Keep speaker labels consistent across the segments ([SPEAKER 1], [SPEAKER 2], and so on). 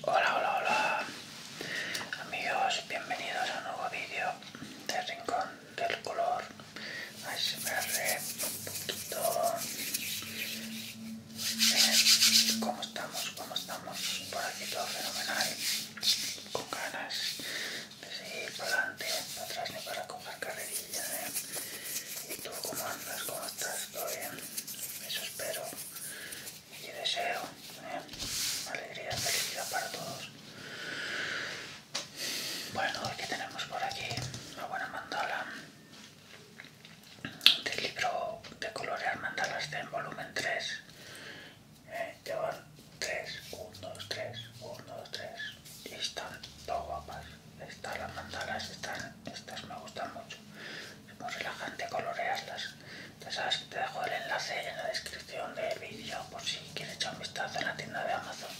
[SPEAKER 1] Hola, hola, hola amigos, bienvenidos a un nuevo vídeo de Rincón del Color ASMR un poquito ¿Cómo estamos? ¿Cómo estamos? Por aquí todo fenomenal con ganas de seguir adelante, para atrás ni para coger carrerilla ¿eh? ¿Y tú cómo andas? ¿Cómo estás? ¿Todo bien? Eso espero y deseo ¿eh? alegría y felicidad para todos. Bueno, aquí tenemos por aquí una buena mandala del libro de colorear mandalas en volumen 3. llevan 3, 1, 2, 3, 1, 2, 3 y están todo guapas. Están las mandalas, estas me gustan mucho es muy relajante colorearlas. Ya te dejo el enlace en la descripción del vídeo por si quieres echar un vistazo en la tienda de Amazon,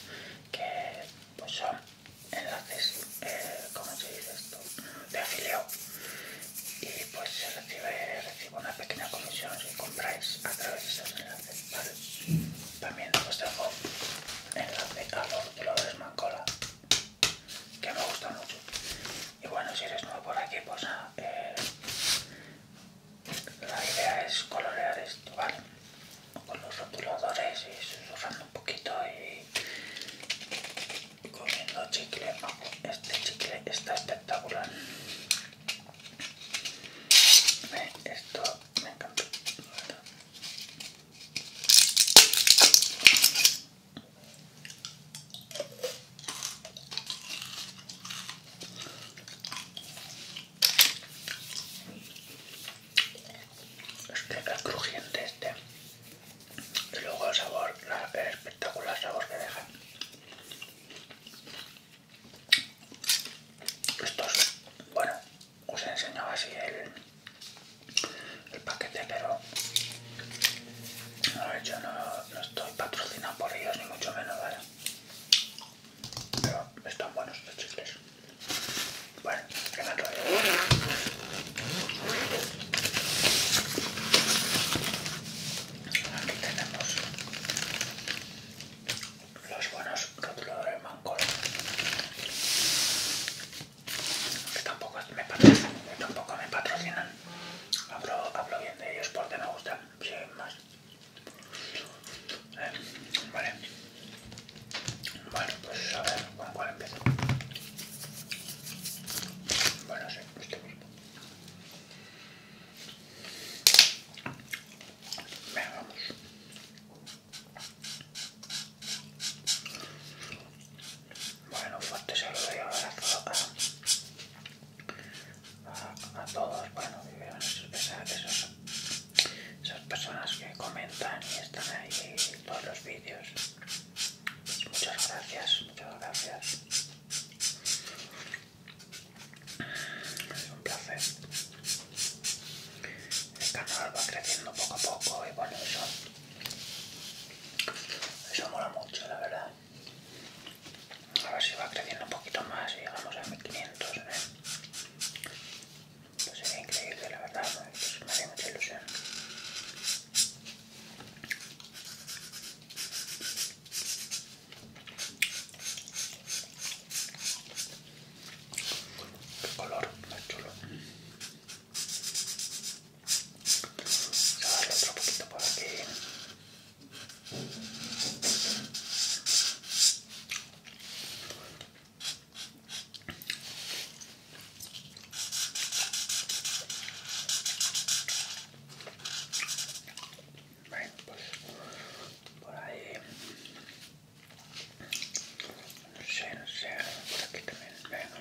[SPEAKER 1] que pues, son enlaces, eh, De afiliado. Y pues recibe, una pequeña comisión si compráis a través de esos enlaces. También os dejo enlace a los los Mancola que me gusta mucho. Y bueno, si eres nuevo por aquí, pues ah, eh, la idea es colorear esto, ¿vale? Con los rotuladores y susurrando un poquito y comiendo chicle. Este chicle está espectacular. esto me encanta. Es que es crujiente este. Y luego el sabor, la, espectacular sabor que deja. Estos, bueno, os he enseñado así el, el paquete, pero yo no, estoy patrocinado por ellos, ni mucho menos, Pero están buenos los chicles. Bueno, que me Aquí tenemos los buenos rotuladores manco tampoco me que tampoco me patrocinan hablo, bien de ellos porque me gustan, siguen más. Eh, vale. Bueno, pues a ver con cuál empiezo. Bueno, sí, este mismo. Venga, vamos. Bueno, fuerte pues saludo y abrazo a, a, a todos, bueno, sus esas, esas personas que comentan y están ahí en todos los vídeos. muchas gracias, muchas gracias. Es un placer. El canal va creciendo poco a poco y bueno, eso, eso mola mucho, la verdad. A ver si va creciendo un poquito más y llegamos a 1500. ¿eh? Pues sería increíble, la verdad. Pues me haría mucha ilusión. El color, más chulo. Vamos a darle otro poquito por aquí. Bueno, pues por ahí no sé, no sé, por aquí también, venga.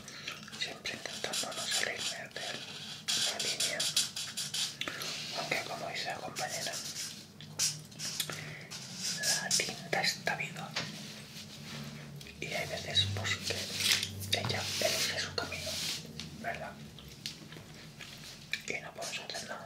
[SPEAKER 1] siempre intentando no salirme de la línea aunque como dice la compañera la tinta está viva y hay veces pues que ella elige su camino verdad y no podemos hacer nada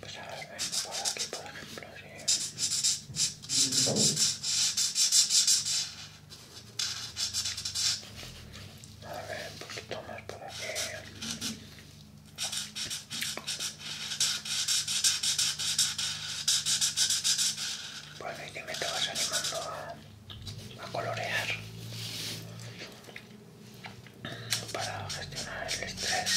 [SPEAKER 1] Pues a ver, por aquí, por ejemplo, A ver, pues tomas por aquí por fin te me vas animando a, colorear para gestionar el estrés.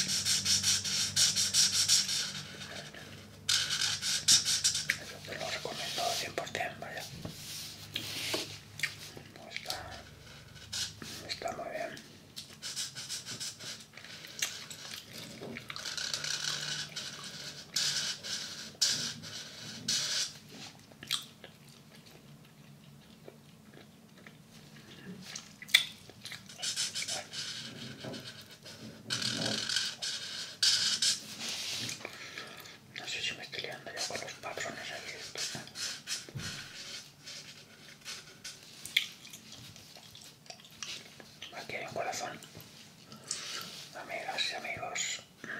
[SPEAKER 1] eso te lo recomiendo 100%, vaya. Está, está muy bien. No sé si me estoy liando ya con los patrones Aquí hay un corazón. Amigas y amigos, tanto.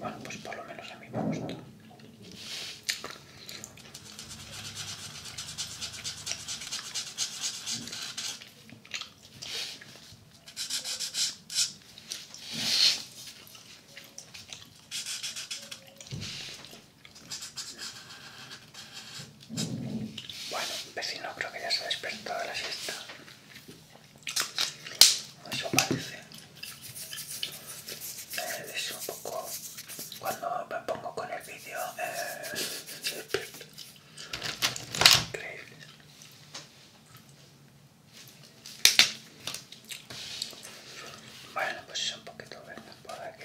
[SPEAKER 1] Bueno, pues por lo menos a mí me gusta. Bueno, vecino, creo que ya se ha despertado de la siesta. Eso parece. Eh, es un poco... Cuando me pongo con el vídeo... Eh, Increíble. Bueno, pues es un poquito verde por aquí.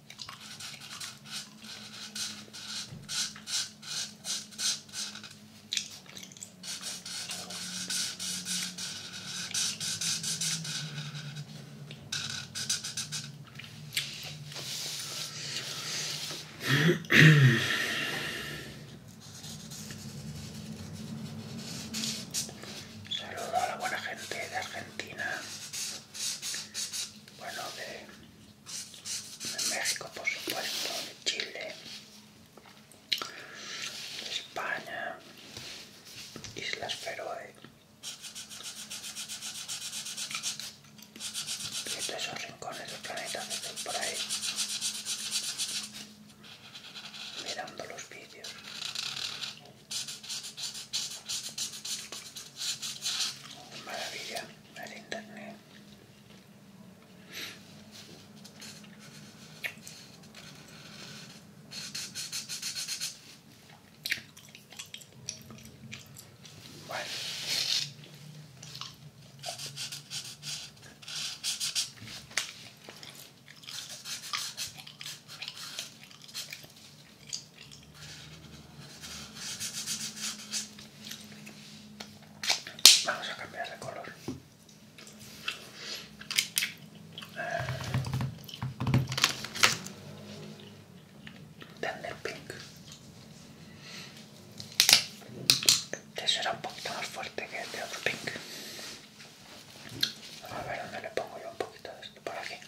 [SPEAKER 1] Saludo a la buena gente de Argentina bueno de, México por supuesto de Chile de España Islas Feroe y de esos rincones del planeta que están por ahí mirando los vídeos Maravilla, el internet. Vale. Vamos a cambiar de color. Tender Pink. Eso este era un poquito más fuerte que el de otro Pink. a ver dónde le pongo yo un poquito de esto por aquí.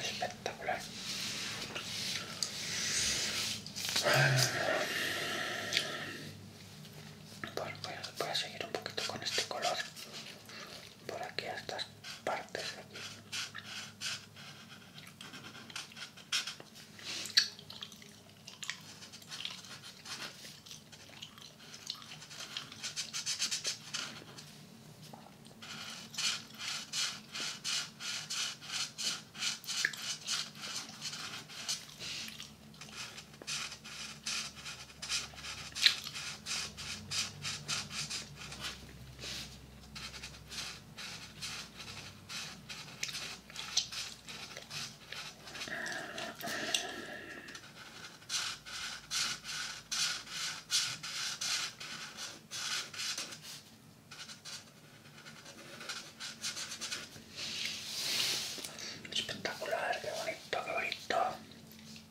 [SPEAKER 1] Espectacular. voy a seguir un poquito con este color por aquí estas partes aquí Spettacolare, che bonito, che bonito.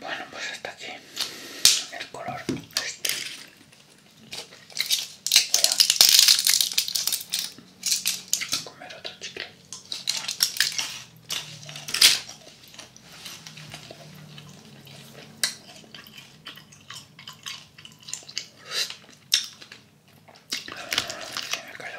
[SPEAKER 1] Bueno, pues hasta aquí el color. Este. Voy a comer otro chicle. Se me cayó.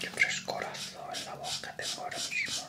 [SPEAKER 1] Qué frescorazo en la boca tengo ahora mismo,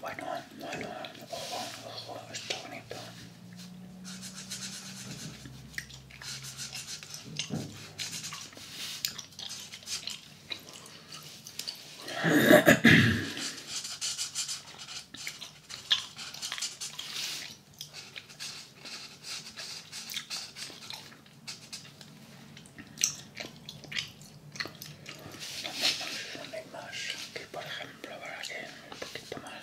[SPEAKER 1] Bueno, bueno, ojo, ojo, está bonito. Las mismas que por ejemplo para que un poquito más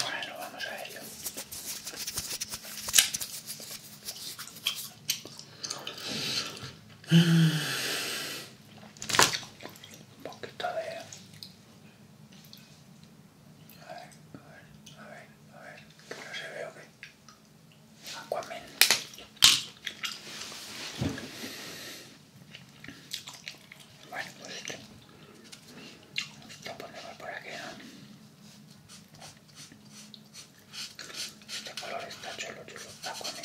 [SPEAKER 1] bueno, vamos a ello. Un poquito de a ver, a ver, a ver, a ver, que no se ve o qué. Aquaman. Bueno, pues este. Lo ponemos por aquí, ¿no? Este color está chulo, chulo. Aquaman.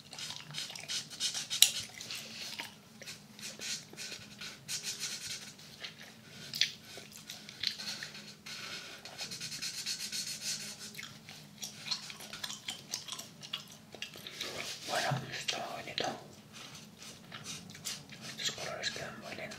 [SPEAKER 1] Bueno, está bonito. Estos colores quedan muy lindos.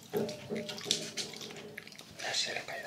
[SPEAKER 1] A se le cae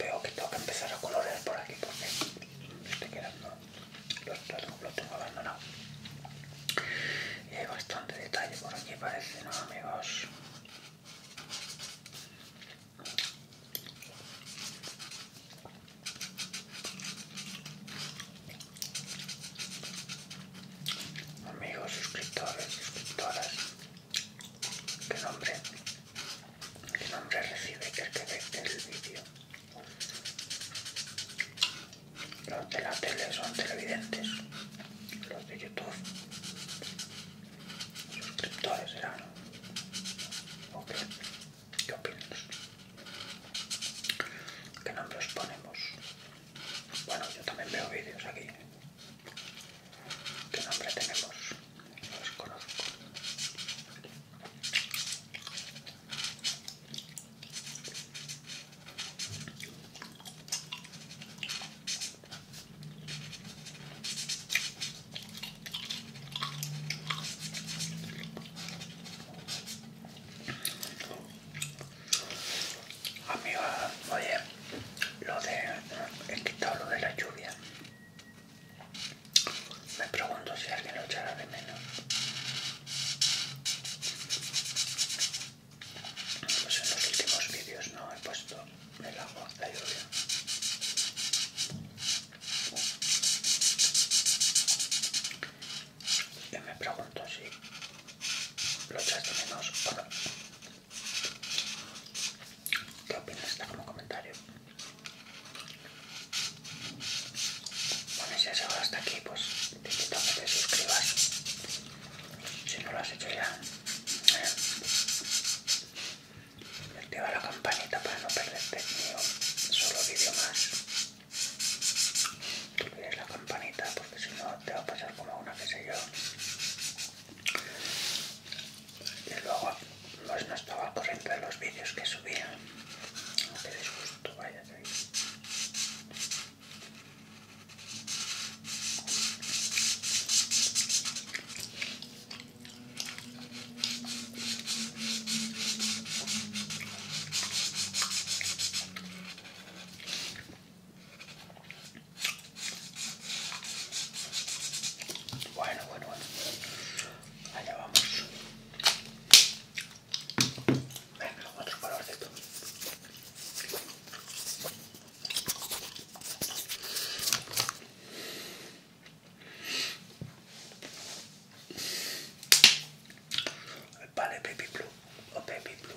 [SPEAKER 1] Veo que tengo que empezar a colorear por aquí porque estoy quedando. Los platos los tengo abandonado. Y hay bastante detalle por aquí, parece, ¿no, amigos? Amigos, suscriptores, suscriptoras. ¿Qué nombre? ¿Qué nombre recibe el que ve el vídeo? Los de la tele son televidentes. Los de YouTube. Suscriptores serán. ¿O qué? ¿Qué opinas? ¿Qué nombre ponemos? Bueno, yo también veo vídeos aquí. ¿Qué nombre tenemos? Los conozco. Amiga, oye, lo de... he quitado lo de la lluvia me pregunto si alguien lo echará de menos. Pues en los últimos vídeos no he puesto el agua, la lluvia. Y me pregunto si lo echas de menos o no. ¿Qué opinas? esta como comentario. Bueno, si has llegado hasta aquí, pues te invito a que te suscribas. Si no lo has hecho ya, eh, activa la campanita para no perderte ni solo vídeo más. No olvides la campanita porque si no te va a pasar como una que sé yo y luego pues no estaba corriendo corriente los vídeos que subía. aunque Qué disgusto, vayas ahí. Bueno, bueno, bueno. Allá vamos. Venga, otro color de colorcito. Vale, baby blue o oh, baby blue.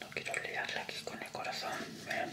[SPEAKER 1] No quiero liarla aquí con el corazón. ¿eh?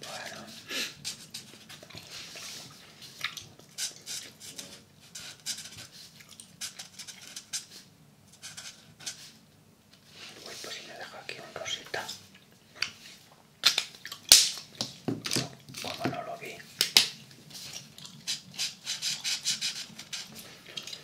[SPEAKER 1] Bueno. Uy, pues si me deja aquí un rosita. Como no lo vi.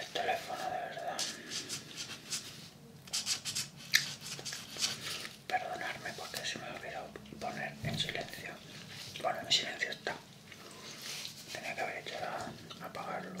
[SPEAKER 1] el teléfono de verdad. Perdonadme porque se me olvidado poner en silencio. Bueno, en silencio está. Tenía que haber hecho a apagarlo.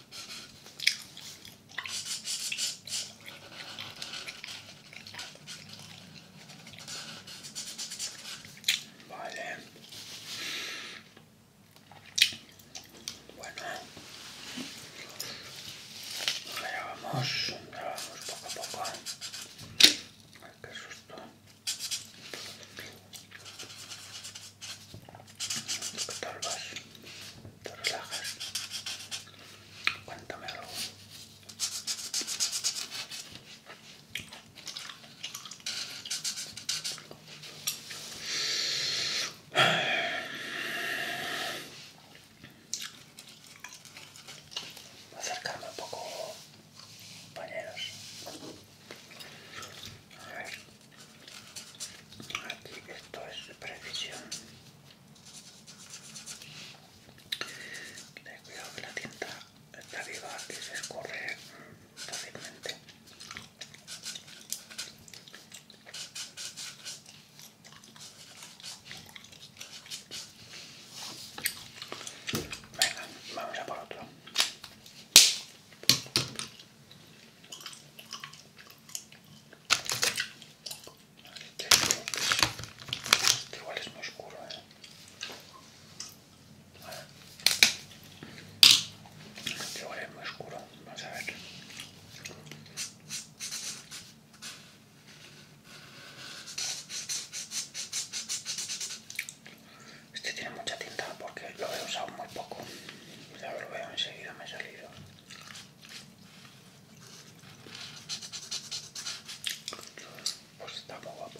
[SPEAKER 1] Vale. Bueno. ya vamos. Ya vamos poco a poco. Ay, qué susto te vas, te relajas. Cuéntame algo. Acercarme un poco, compañeros. Aquí esto es precisión. Ten cuidado que la tinta está viva y se escorre fácilmente. Venga, vamos a por otro. Este, igual es muy oscuro, ¿eh? Este igual es muy oscuro, vamos a ver. Este tiene mucha tinta porque lo he usado muy poco. Ya pues enseguida, me Pues está muy guapo.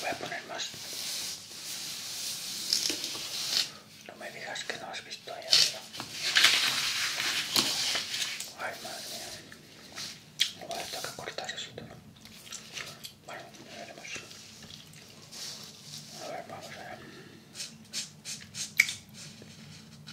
[SPEAKER 1] Voy a poner más. No me digas que no has visto allá arriba. Ay, madre mía. No va a tener que cortar eso todo. Bueno, ya veremos. A ver, vamos a ver.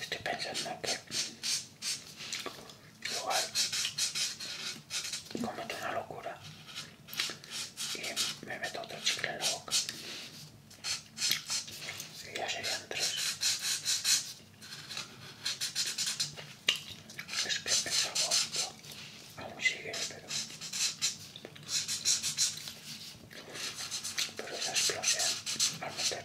[SPEAKER 1] Estoy pensando que igual cometo una locura y me meto otro chicle en la boca. Y ya serían tres. Es que el sabor aún sigue, pero... Pero esa explosión al meter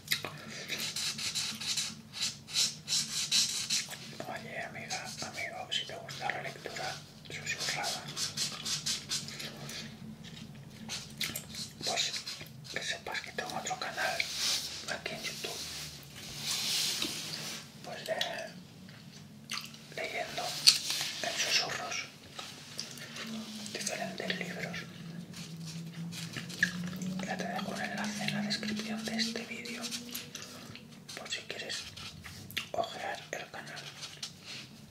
[SPEAKER 1] Oye, amiga, amigo, si te gusta la lectura susurrada, pues que sepas que tengo otro canal aquí en YouTube, pues de, eh, leyendo en susurros diferentes libros. Ya te dejo un enlace en la descripción de este vídeo por si quieres ojear el canal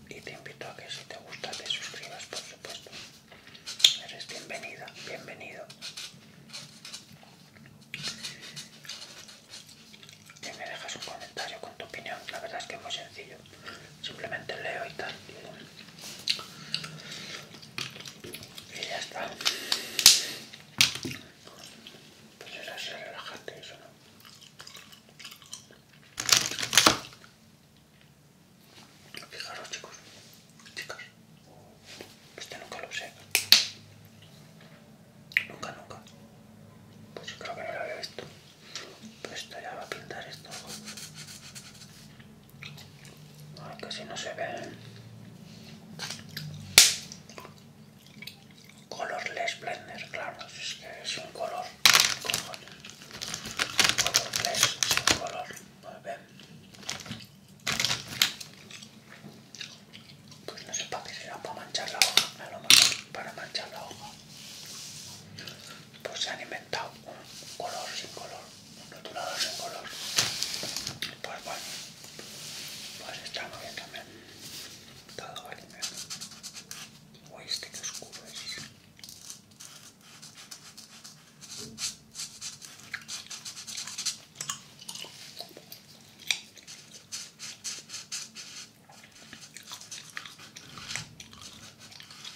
[SPEAKER 1] y te invito a que si te gusta te suscribas por supuesto. Eres bienvenida, bienvenido. Y me dejas un comentario con tu opinión, la verdad es que es muy sencillo. Simplemente leo y tal y ya está pues era relájate relajante eso no Fijaros chicos, chicas, este nunca lo sé, nunca, nunca, pues creo que no lo había visto, pero pues esto ya va a pintar esto, que si no se ve. Colorless blender, claro, es que es un color. Colorless, es un color. Muy bien. Pues no sé para qué será, para manchar la hoja, a lo mejor para manchar la hoja pues se han inventado un color sin color, un rotulador sin color. Pues bueno, pues está muy bien también. Todo a bien. Uy, este que oscuro es.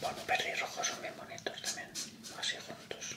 [SPEAKER 1] Bueno, perro y rojo son bien bonitos también, así juntos.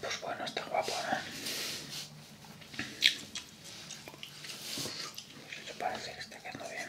[SPEAKER 1] Pues bueno, está guapo, ¿no? ¿eh? Eso parece que está quedando bien.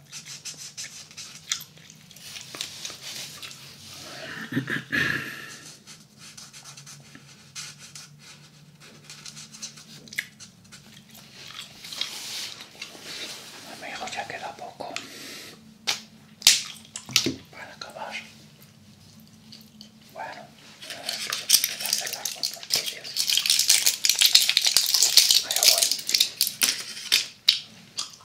[SPEAKER 1] Amigos, ya queda poco para acabar. Bueno, que voy a hacer las los vídeos. Allá voy.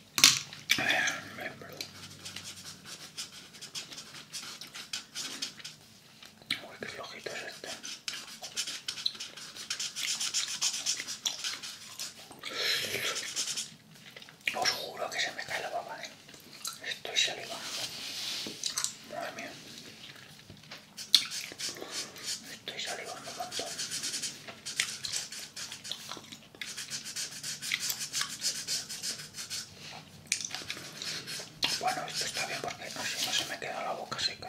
[SPEAKER 1] Me Uy, qué flojito es este. Os juro que se me cae la baba, ¿eh? Estoy salivando. Madre mía. Estoy salivando un bueno, esto está bien porque no, no se me queda la boca seca,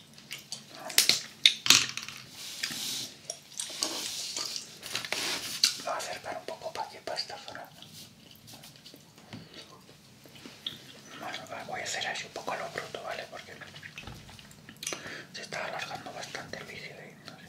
[SPEAKER 1] Voy a acercar un poco para aquí, para esta zona. Ah, voy a hacer así un poco lo bruto, ¿vale? Porque se está alargando bastante el vicio ahí. ¿eh? ¿no? sé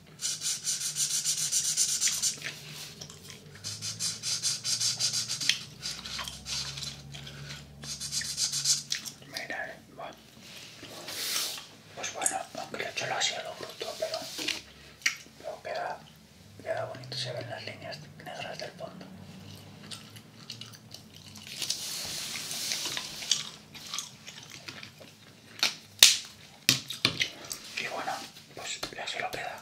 [SPEAKER 1] Mira, eh, bueno. Pues bueno, aunque yo he hecho lo ha lo bruto, pero, pero queda, queda bonito, se ven las líneas negras del fondo. Y bueno, pues ya se lo queda.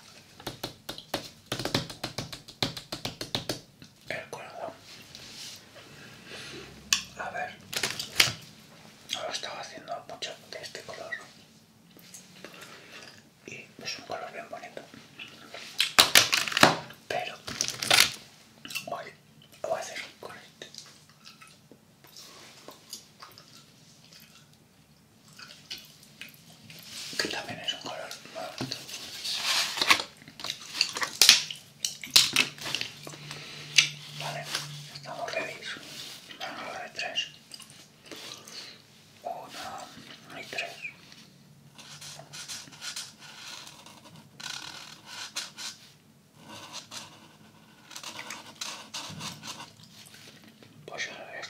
[SPEAKER 1] El color A ver. lo estaba haciendo mucho de este color. Y es un color bien bonito. Pero hoy lo voy a hacer con este que también es un color vale estamos ready de tres una y tres pues ahora ya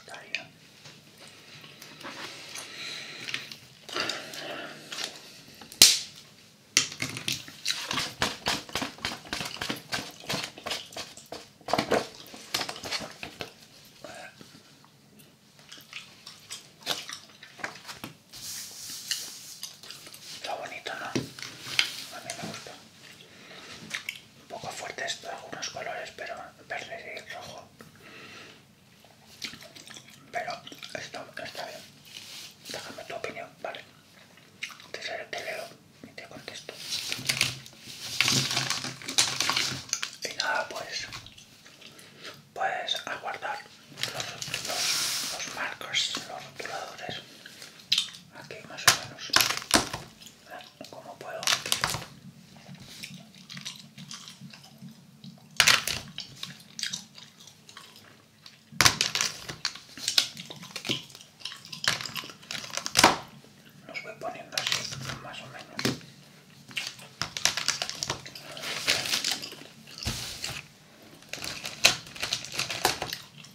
[SPEAKER 1] Está bonito, ¿no? A mí me gusta un poco fuertes algunos colores, pero verde y rojo. Pero está bien. Déjame tu opinión, ¿vale? Te, leo y te contesto. Y nada, pues, pues aguardar los, los, los marcos, los rotuladores aquí más o menos como puedo los voy poniendo así más o menos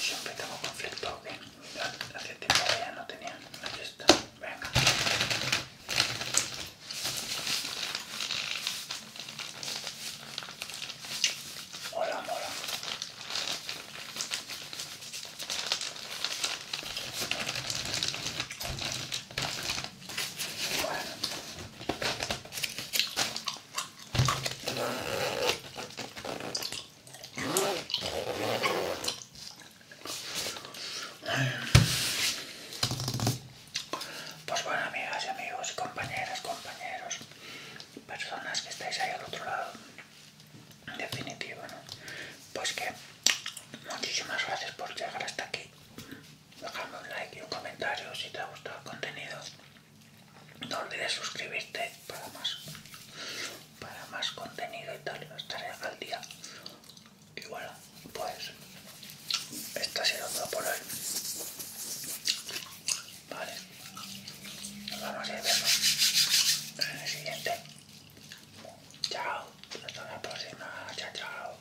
[SPEAKER 1] Siempre tengo conflicto, ok. Hace tiempo que ya no tenía. Aquí está. Venga. Hola, mola. Bueno. Pues bueno, amigas y amigos, compañeras, compañeros, personas que estáis ahí al otro lado, en definitiva, ¿no? Pues que muchísimas gracias por llegar hasta aquí. Déjame un like y un comentario si te ha gustado el contenido. No olvides suscribirte para más, para más contenido y tal. estar al día. Y bueno, pues esto ha sido todo por hoy. Vale. Nos vamos a ir en el siguiente. Chao. Hasta la próxima. Chao, chao.